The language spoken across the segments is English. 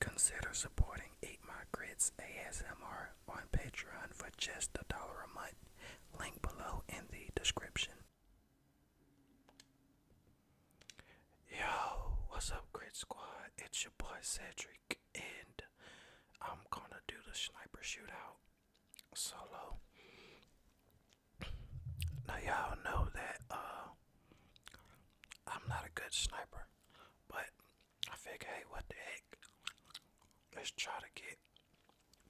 Consider supporting Eat My Grits ASMR on Patreon for just a dollar a month. Link below in the description. Yo, what's up, Grit Squad? It's your boy Cedric and I'm gonna do the sniper shootout solo. Now y'all know that uh, I'm not a good sniper, but I figure, hey, what the heck? Let's try to get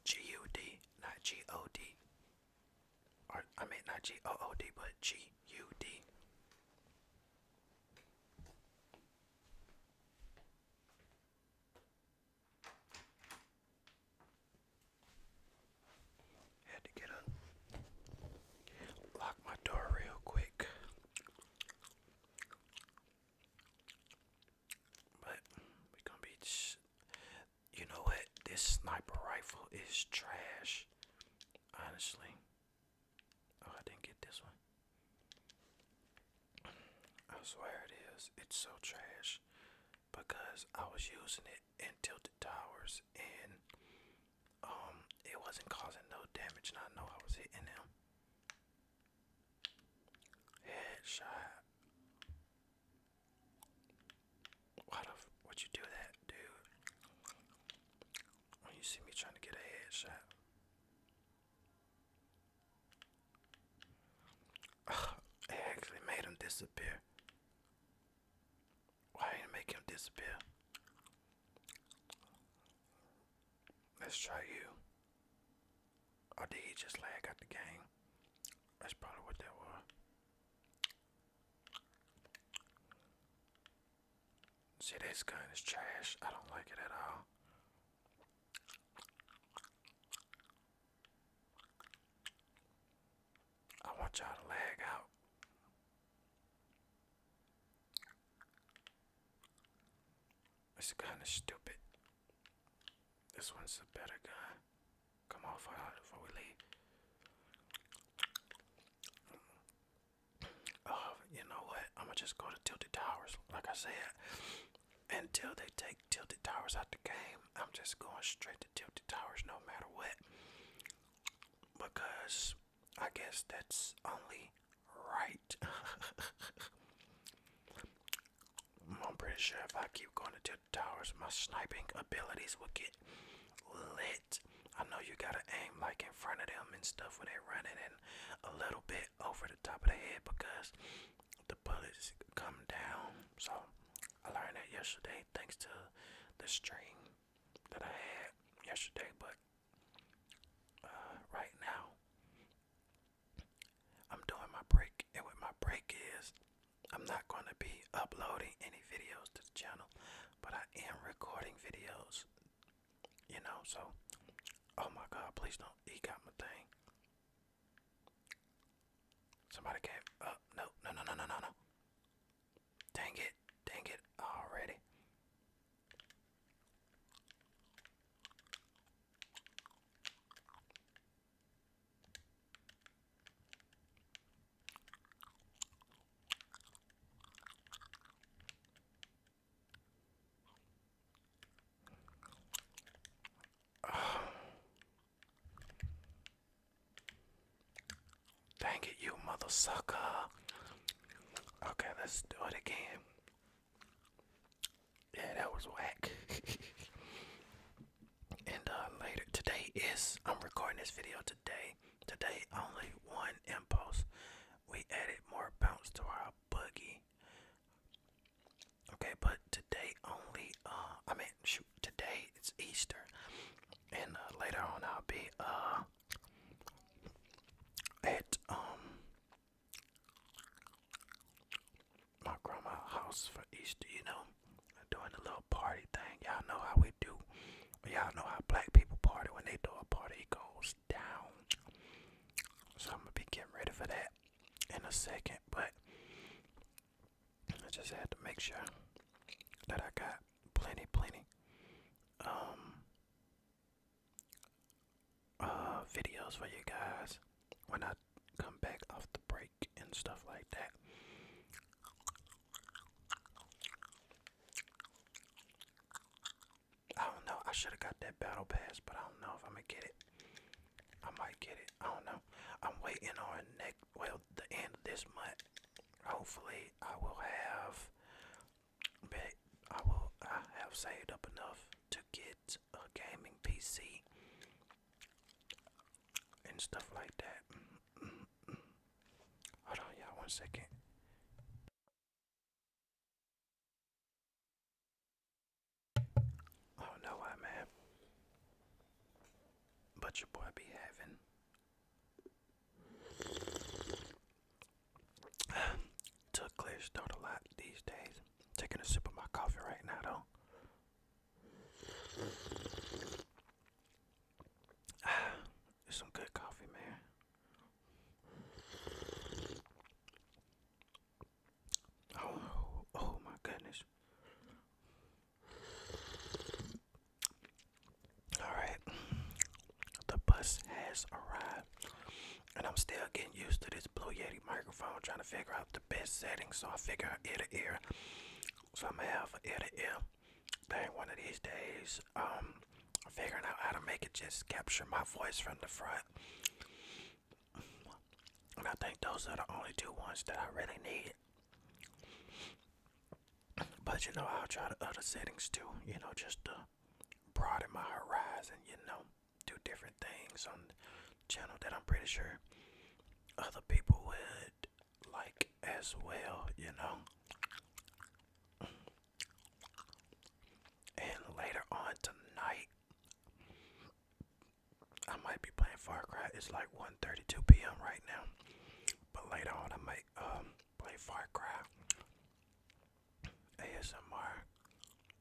G U D, not G O D. Or I mean not G O O D, but G U D. Had to get up, lock my door real quick. But we going be, you know what? This sniper rifle is trash, honestly. Oh, I didn't get this one. I swear it is. It's so trash because I was using it in tilted towers and um it wasn't causing no damage and I know I was hitting him. Headshot. Why the f would you do that, dude? When you see me trying to get a headshot it actually made him disappear. Why did make him disappear? Let's try you. Or did he just lag out the game? That's probably what that was. See, this gun is trash. I don't like it at all. I want y'all to lag out. It's kind of stupid. This one's a better guy. Come on, for before we leave. Oh, you know what? I'm gonna just go to Tilted Towers. Like I said, until they take Tilted Towers out the game, I'm just going straight to Tilted Towers no matter what. Because I guess that's only right. I'm pretty sure if I keep going to Tilted Towers, my sniping abilities will get lit. I know you gotta aim like in front of them and stuff when they're running in a little bit over the top of the head because the bullets come down. So I learned that yesterday thanks to the stream that I had yesterday. But uh, right now, I'm doing my break, and what my break is, I'm not going to be uploading any videos to the channel, but I am recording videos you know, so oh my god, please don't he got my thing. Somebody came no no no no no no Dang it, dang it already. Thank Dang you mother sucker. Okay, let's do it again. Yeah, that was whack. and uh, later today is I'm recording this video today. Today only one impulse. We added more bounce to our boogie. Okay, but today only, uh, I mean, shoot, today it's Easter, and uh, later on I'll be, uh, at, um, my grandma' house for Easter, you know, doing a little party thing. Y'all know how we do, y'all know how black people party when they do a party, it goes down. So I'm gonna be getting ready for that in a second, but I just had to make sure that I got plenty, plenty um, uh, videos for you guys when I come back off the break and stuff like that. I don't know. I should have got that battle pass, but I don't know if I'm gonna get it. I might get it. I don't know. I'm waiting on next. Well, the end of this month. Hopefully, I will have. But I will. I have saved up enough to get a gaming PC and stuff like that. Hold on, y'all. One second. Oh no, I'm at. But your boy be having. to clear throat a lot these days. Taking a sip of my coffee right now, though. it's some good coffee, man. Oh, oh my goodness. Alright, the bus has arrived, and I'm still getting used to this Blue Yeti microphone, trying to figure out the best settings. So I figure out ear to ear, so I'm gonna have an ear to ear thing one of these days. Um, figuring out how to make it just capture my voice from the front. And I think those are the only two ones that I really need. But you know, I'll try the other settings too, you know, just to broaden my horizon, you know, do different things on channel that I'm pretty sure other people would like as well, you know. And later on tonight, I might be playing Far Cry. It's like 1:32 p.m. right now, but later on I might um, play Far Cry ASMR.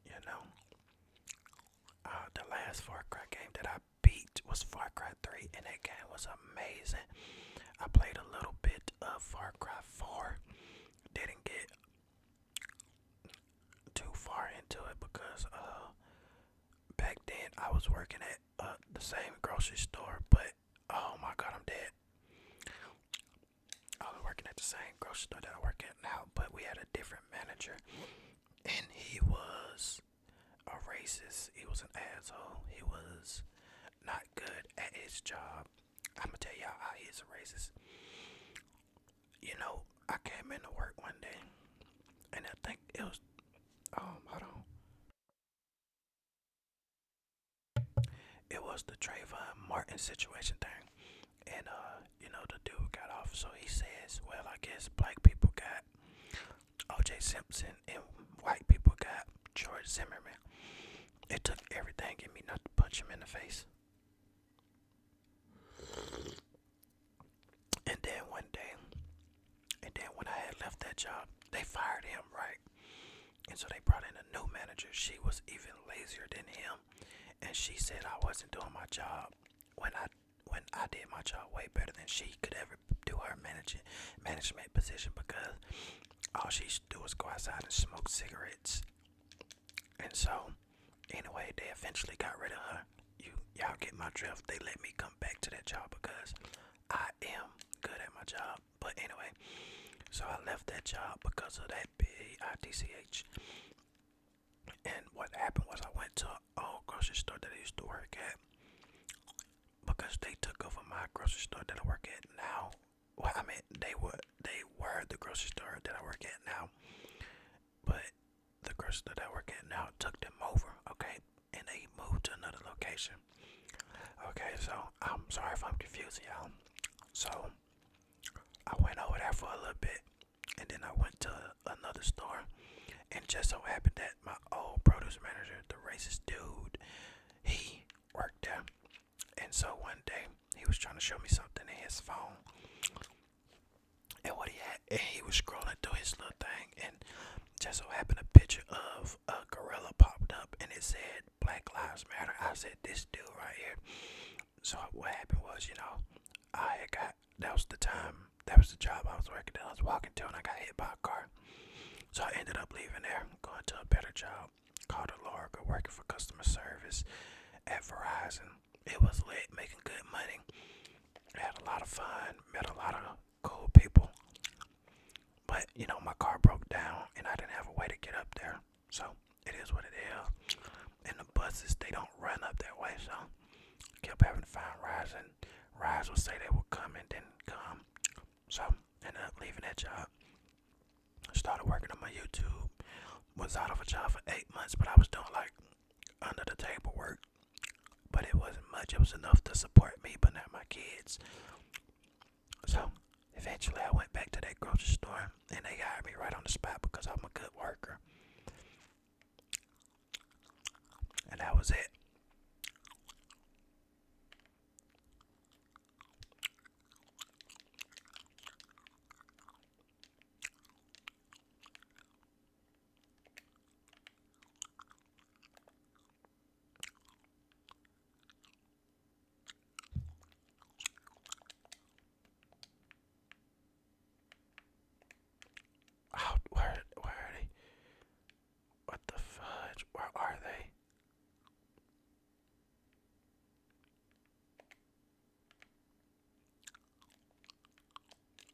You know, uh, the last Far Cry game that I beat was Far Cry 3, and that game was amazing. I played a little bit of Far Cry 4, didn't get too far into it because uh back then I was working at uh, the same grocery store, but oh my god, I'm dead. I was working at the same grocery store that I work at now, but we had a different manager, and he was a racist. He was an asshole. He was not good at his job. I'ma tell y'all I is a racist. You know, I came into work one day and I think it was um hold on. It was the Trayvon Martin situation thing. And uh, you know, the dude got off, so he says, Well, I guess black people got OJ Simpson and white people got George Zimmerman. It took everything in me not to punch him in the face. And then one day, and then when I had left that job, they fired him, right? And so they brought in a new manager. She was even lazier than him, and she said I wasn't doing my job when I when I did my job way better than she could ever do her managing management position because all she should do is go outside and smoke cigarettes and so, anyway, they eventually got rid of her. You y'all get my drift. They let me come back to that job because I am good at my job. But anyway, so I left that job because of that big ITCH. And what happened was I went to an old grocery store that I used to work at because they took over my grocery store that I work at now well, I mean, they were they were the grocery store that I work at now, but the grocery store that I work at now took them over, okay, and they moved to another location. Okay, so I'm sorry if I'm confusing y'all. So I went over there for a little bit, and then I went to another store, and just so happened that my old produce manager, the racist dude, he worked there. And so one day he was trying to show me something in his phone. And what he had, and he was scrolling through his little thing, and just so happened a picture of a gorilla popped up, and it said "Black Lives Matter." I said, "This dude right here." So what happened was, you know, I had got that was the time that was the job I was working that I was walking to, and I got hit by a car. So I ended up leaving there, going to a better job, out called a larga working for customer service at Verizon. It was lit, making good money. I had a lot of fun, met a lot of cool people. But you know, my car broke down and I didn't have a way to get up there. So it is what it is. And the buses they don't run up that way, so I kept having to find rides and rides would say they would come and didn't come. So ended up leaving that job started working on my YouTube. Was out of a job for eight months, but I was doing like under the table work. But it wasn't much. It was enough to support me, but not my kids. So eventually, I went back to that grocery store, and they hired me right on the spot because I'm a good worker. And that was it. How? Where? Where are they? What the fudge? Where are they?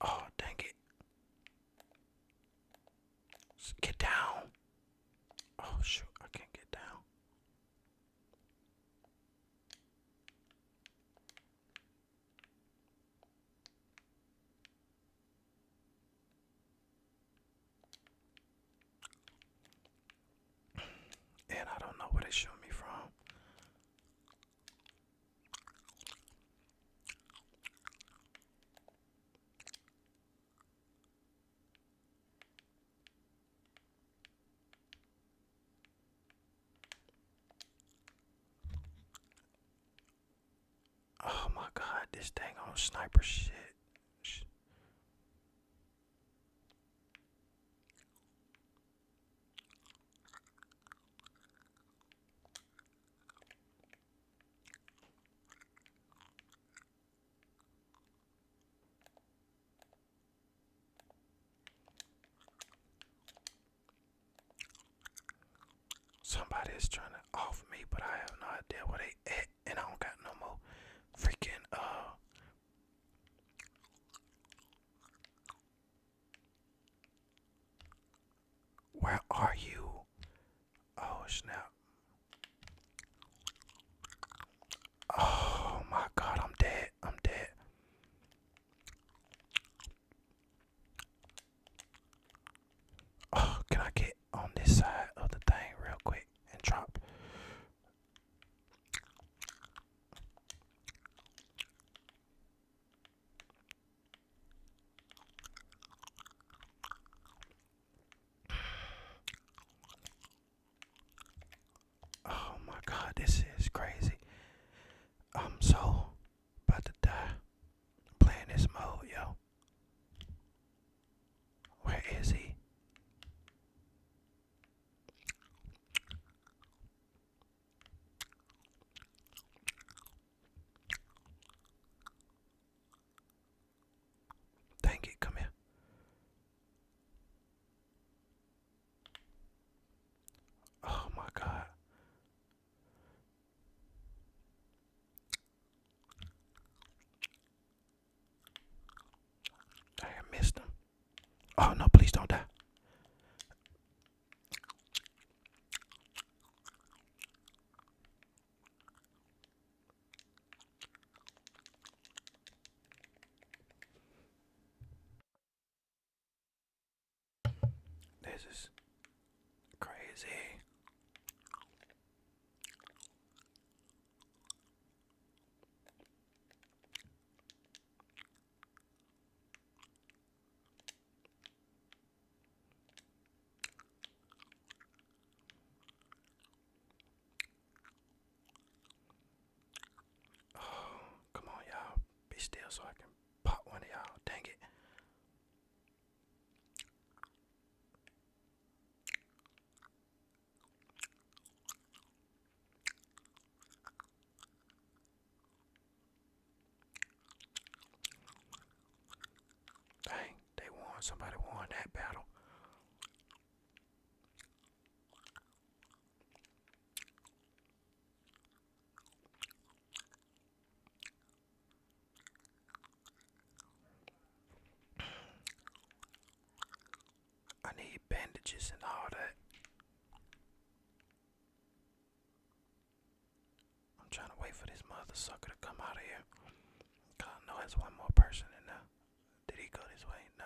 Oh, dang it. Get down. Oh, shoot, I can't get down. And I don't know where they showed me from. Oh my god, this dang on sniper shit. Somebody is trying to off me, but I have no idea where they at, and I don't got no more freaking uh where are you? Oh snap. Oh my god, I'm dead. I'm dead. Oh, can I get on this side of the thing real quick and drop? Oh my god, this is crazy. I'm so about to die playing this mode, yo. Where is he? Dang it, come here. Oh, my God. I missed him. Oh no, please don't die. This is crazy. Oh, come on, y'all. Be still so I can pop one of y'all. Dang it. Dang, they won. Somebody won that battle. I need bandages and all that. I'm trying to wait for this mother to come out of here. Cause know there's one more person in there. Did he go this way? No.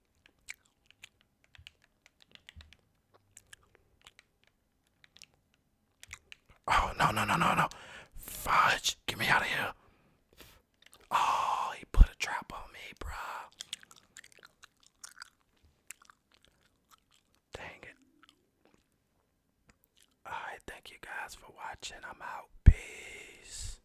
Oh, no, no, no, no, no. Fudge, get me out of here. Oh, he put a trap on me, bruh. Dang it. Alright, thank you guys for watching. I'm out. Peace.